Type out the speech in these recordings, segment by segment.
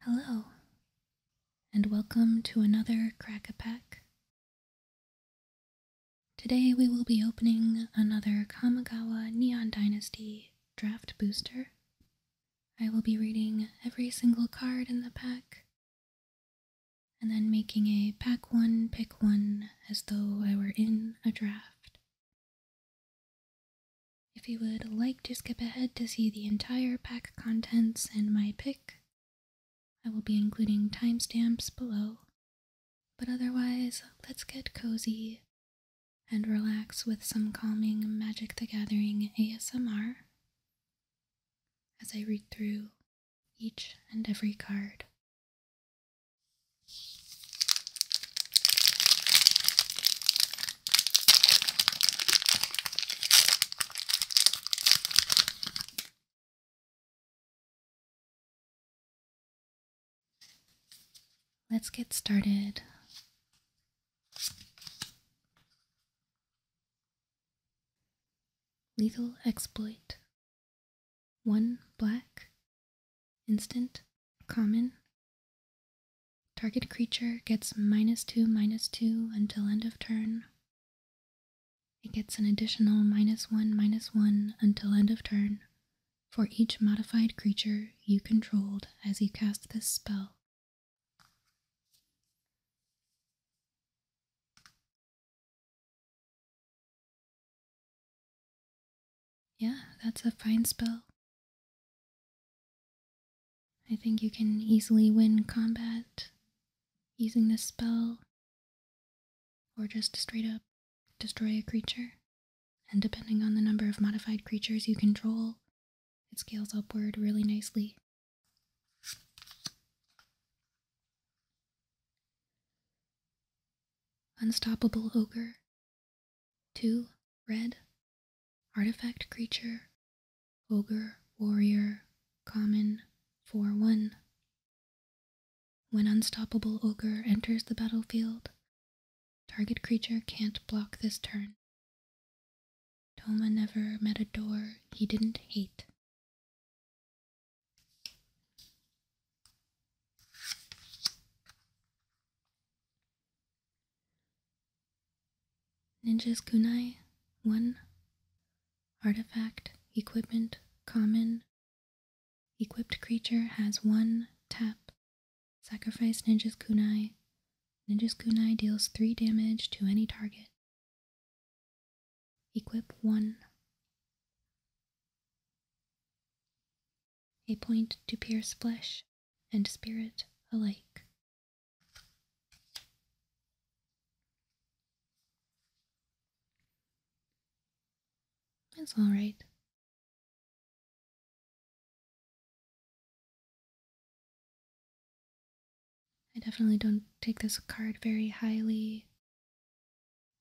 Hello, and welcome to another Crack a Pack. Today we will be opening another Kamigawa Neon Dynasty draft booster I will be reading every single card in the pack and then making a pack one, pick one as though I were in a draft. If you would like to skip ahead to see the entire pack contents and my pick, I will be including timestamps below. But otherwise, let's get cozy and relax with some calming Magic the Gathering ASMR as I read through each and every card. Let's get started Lethal exploit. One black. Instant. Common. Target creature gets minus two, minus two until end of turn. It gets an additional minus one, minus one until end of turn for each modified creature you controlled as you cast this spell. Yeah, that's a fine spell. I think you can easily win combat using this spell, or just straight up destroy a creature. And depending on the number of modified creatures you control, it scales upward really nicely. Unstoppable Ogre. 2. Red. Artifact Creature. Ogre Warrior. Common. 4 1. When Unstoppable Ogre enters the battlefield, target creature can't block this turn. Toma never met a door he didn't hate. Ninja's kunai 1 Artifact, equipment, common. Equipped creature has one tap Sacrifice Ninja's Kunai. Ninja's Kunai deals 3 damage to any target. Equip 1. A point to pierce flesh and spirit alike. It's alright. I definitely don't take this card very highly.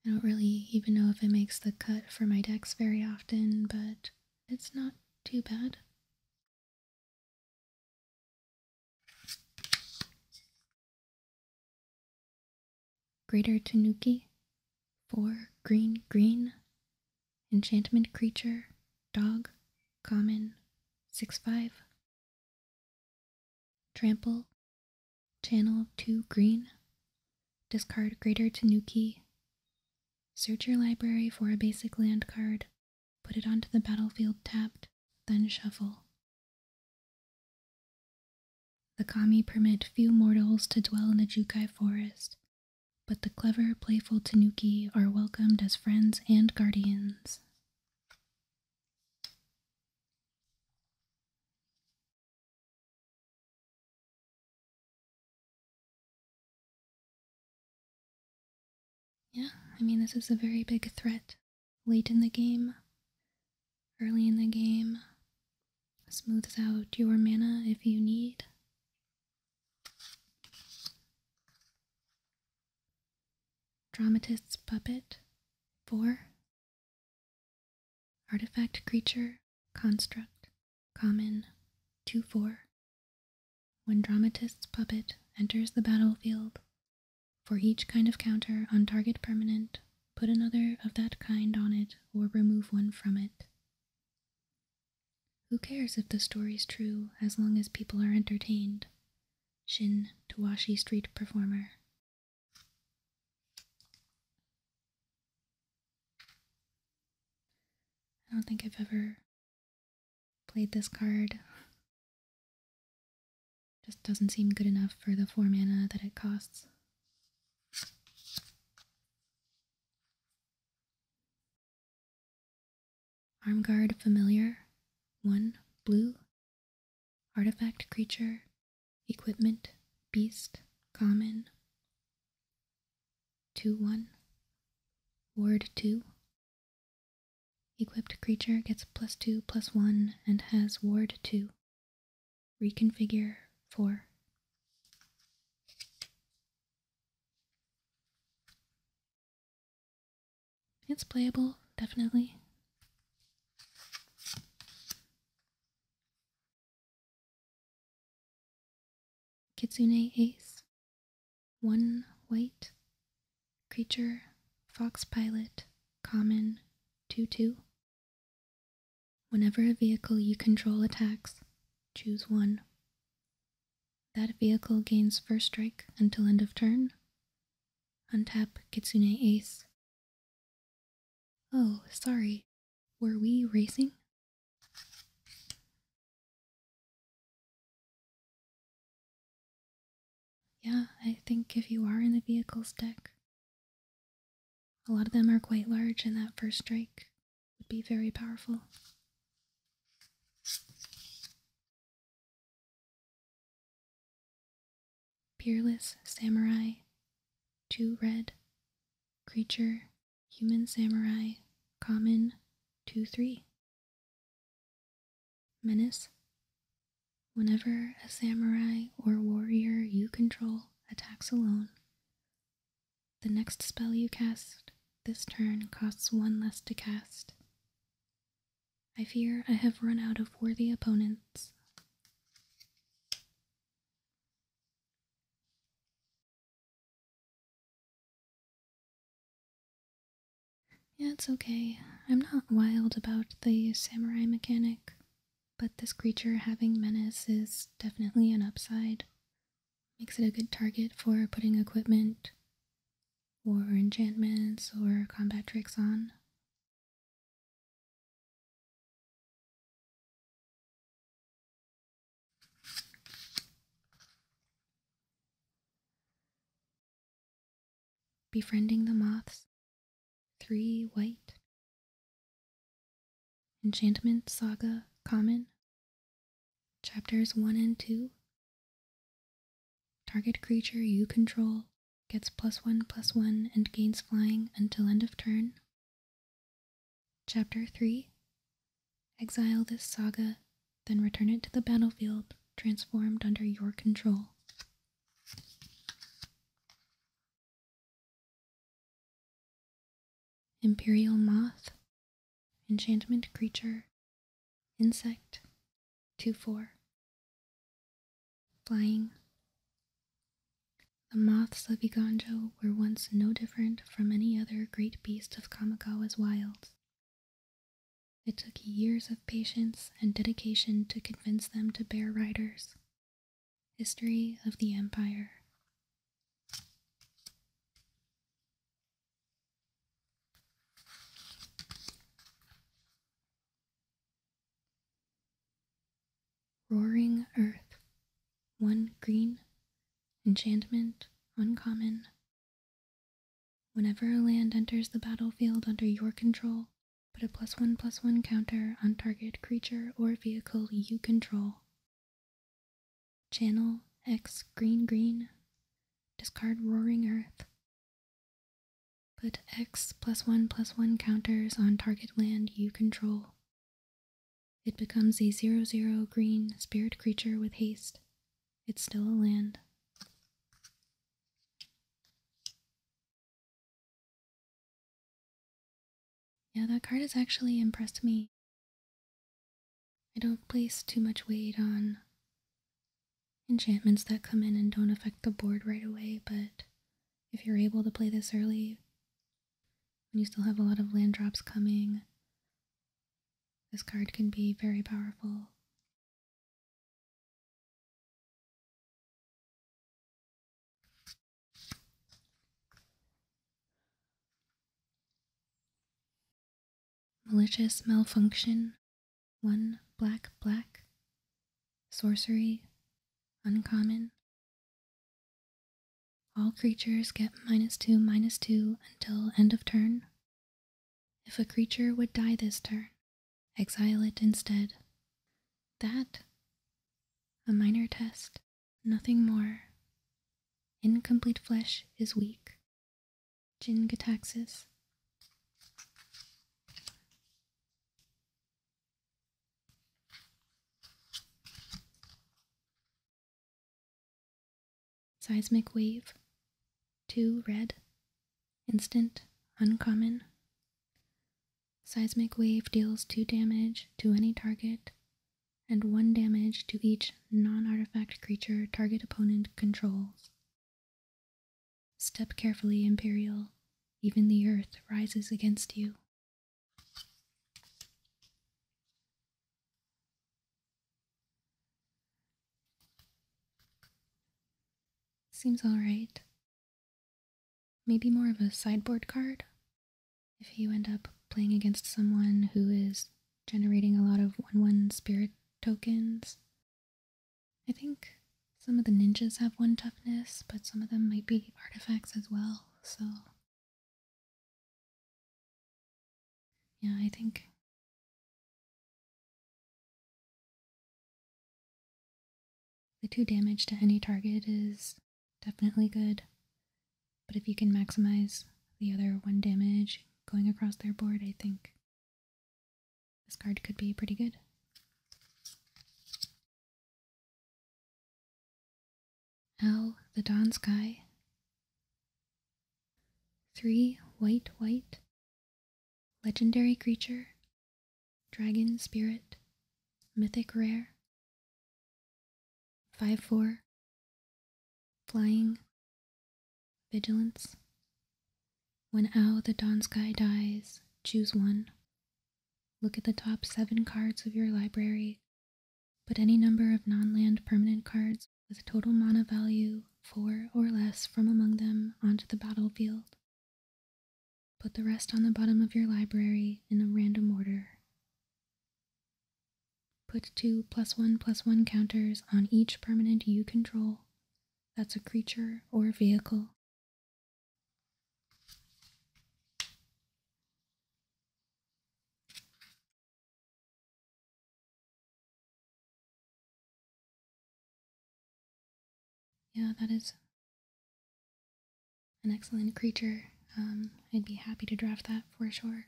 I don't really even know if it makes the cut for my decks very often, but it's not too bad. Greater Tanuki, 4 green green, Enchantment creature, dog, common, 6 5. Trample, channel 2 green, discard greater tanuki. Search your library for a basic land card, put it onto the battlefield tapped, then shuffle. The kami permit few mortals to dwell in the Jukai forest, but the clever, playful tanuki are welcomed as friends and guardians. Yeah, I mean, this is a very big threat. Late in the game, early in the game, smooths out your mana if you need. Dramatist's puppet, 4. Artifact creature, construct, common, 2 4. When Dramatist's puppet enters the battlefield, for each kind of counter on target permanent, put another of that kind on it or remove one from it. Who cares if the story's true as long as people are entertained? Shin Tawashi Street Performer. I don't think I've ever played this card. Just doesn't seem good enough for the 4 mana that it costs. Armguard familiar, one blue. Artifact creature, equipment, beast, common. 2 1. Ward 2. Equipped creature gets plus 2 plus 1 and has ward 2. Reconfigure 4. It's playable, definitely. Kitsune Ace, One White, Creature, Fox Pilot, Common, 2 2. Whenever a vehicle you control attacks, choose one. That vehicle gains first strike until end of turn. Untap Kitsune Ace. Oh, sorry. Were we racing? Yeah, I think if you are in the vehicles deck, a lot of them are quite large, in that first strike would be very powerful. Peerless Samurai, two red, creature, human samurai, common, two three. Menace. Whenever a samurai or warrior you control attacks alone, the next spell you cast this turn costs one less to cast. I fear I have run out of worthy opponents. Yeah, it's okay. I'm not wild about the samurai mechanic, but this creature having menace is definitely an upside. Makes it a good target for putting equipment or enchantments or combat tricks on. Befriending the Moths, 3 White, Enchantment Saga Common, Chapters 1 and 2 Target creature you control gets plus 1 plus 1 and gains flying until end of turn. Chapter 3 Exile this saga, then return it to the battlefield, transformed under your control imperial moth, enchantment creature, insect, 2 4. Flying. The moths of Iganjo were once no different from any other great beast of Kamikawa's wilds. It took years of patience and dedication to convince them to bear riders. History of the Empire. Roaring Earth, one green, enchantment uncommon. Whenever a land enters the battlefield under your control, put a plus one plus one counter on target creature or vehicle you control Channel X green green. Discard Roaring Earth. Put X plus 1 plus 1 counters on target land you control. It becomes a zero zero green spirit creature with haste. It's still a land. Yeah, that card has actually impressed me I don't place too much weight on enchantments that come in and don't affect the board right away, but if you're able to play this early, and you still have a lot of land drops coming, this card can be very powerful malicious malfunction, one black black, sorcery, uncommon. All creatures get minus two minus two until end of turn. If a creature would die this turn, exile it instead. That? A minor test, nothing more. Incomplete flesh is weak. Gingataxis. Seismic wave. Two red. Instant. Uncommon. Seismic wave deals 2 damage to any target and 1 damage to each non artifact creature target opponent controls. Step carefully, Imperial. Even the earth rises against you. Seems alright. Maybe more of a sideboard card? if you end up playing against someone who is generating a lot of 1-1 spirit tokens. I think some of the ninjas have 1 toughness, but some of them might be artifacts as well, so... Yeah, I think... The 2 damage to any target is definitely good. But if you can maximize the other one damage going across their board, I think this card could be pretty good. How the Dawn Sky. Three white, white. Legendary creature. Dragon spirit. Mythic rare. Five four. Flying. Vigilance. When ow the dawn sky dies, choose one. Look at the top seven cards of your library. but any number of non land permanent cards with total mana value four or less from among them onto the battlefield. Put the rest on the bottom of your library in a random order. Put two plus one plus one counters on each permanent you control. That's a creature or vehicle. Yeah, that is an excellent creature. Um, I'd be happy to draft that for sure.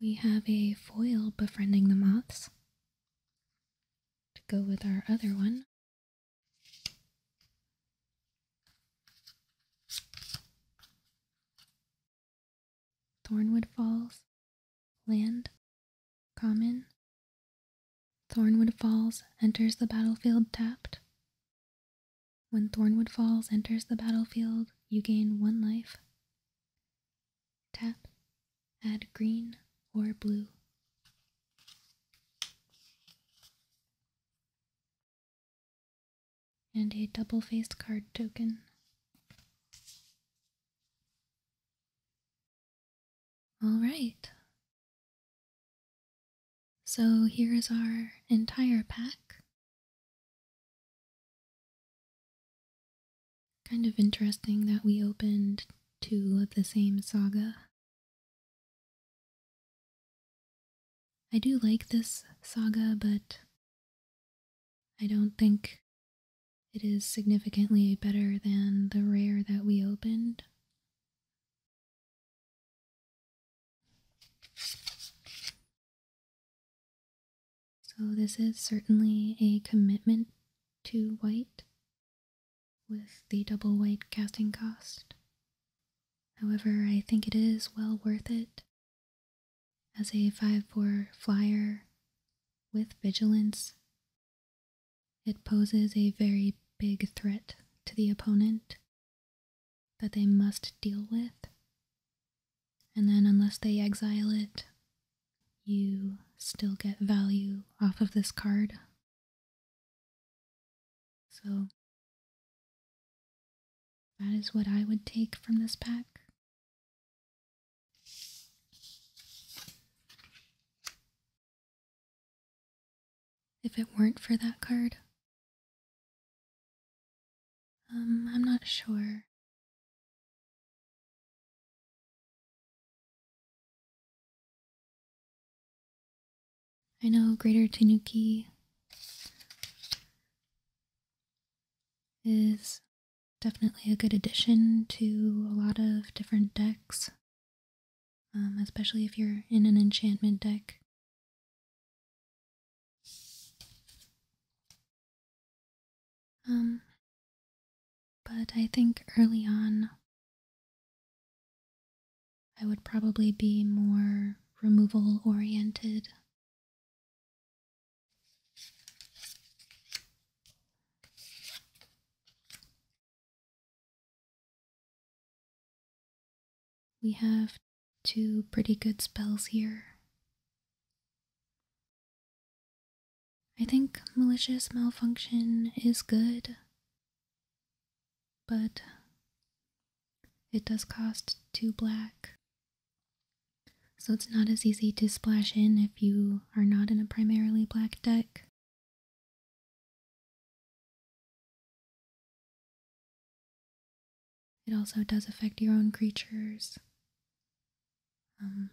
We have a foil befriending the moths to go with our other one. Thornwood Falls, Land, Common, Thornwood Falls enters the battlefield tapped. When Thornwood Falls enters the battlefield, you gain one life. Tap, add green or blue. And a double faced card token. All right. So here is our entire pack. Kind of interesting that we opened two of the same saga. I do like this saga, but I don't think it is significantly better than the rare that we opened. So, this is certainly a commitment to white with the double white casting cost. However, I think it is well worth it. As a 5 4 flyer with vigilance, it poses a very big threat to the opponent that they must deal with. And then, unless they exile it, you still get value off of this card. So, that is what I would take from this pack if it weren't for that card. Um, I'm not sure. I know Greater Tanuki is definitely a good addition to a lot of different decks. Um, especially if you're in an enchantment deck. Um, but I think early on, I would probably be more removal oriented. We have two pretty good spells here. I think malicious malfunction is good, but it does cost two black. So it's not as easy to splash in if you are not in a primarily black deck. It also does affect your own creatures. Um,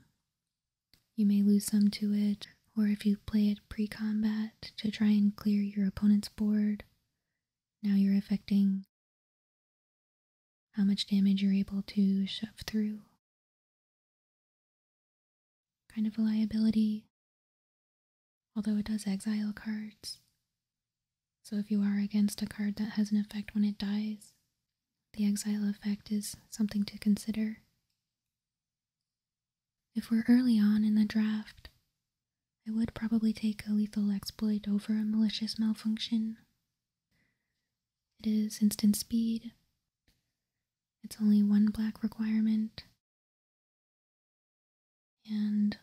you may lose some to it, or if you play it pre combat to try and clear your opponent's board, now you're affecting how much damage you're able to shove through kind of a liability, although it does exile cards. So if you are against a card that has an effect when it dies, the exile effect is something to consider. If we're early on in the draft, I would probably take a lethal exploit over a malicious malfunction. It is instant speed. It's only one black requirement, and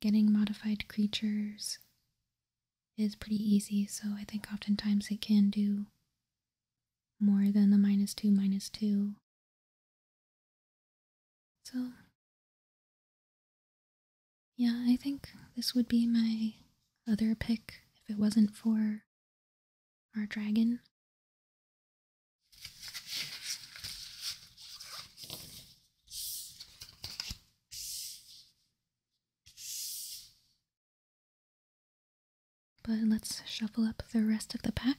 getting modified creatures is pretty easy, so I think oftentimes it can do more than the minus 2 minus 2. So, yeah, I think this would be my other pick if it wasn't for our dragon. But let's shuffle up the rest of the pack.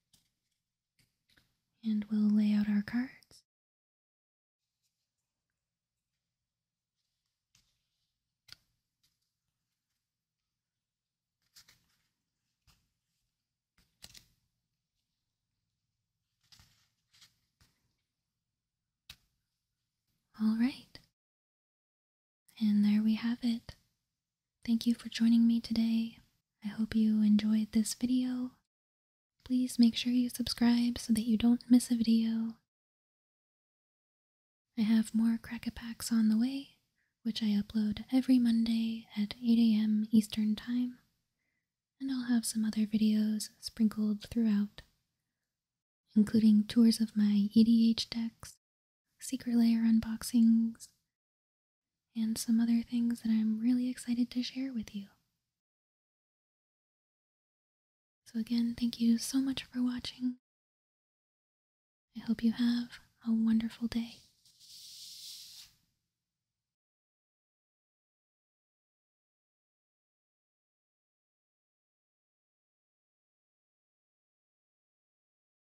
And we'll lay out our cards. All right. And there we have it. Thank you for joining me today. I hope you enjoyed this video. Please make sure you subscribe so that you don't miss a video. I have more Crackapacks on the way, which I upload every Monday at 8 a.m. Eastern Time, and I'll have some other videos sprinkled throughout, including tours of my EDH decks secret layer unboxings, and some other things that I'm really excited to share with you. So, again, thank you so much for watching. I hope you have a wonderful day.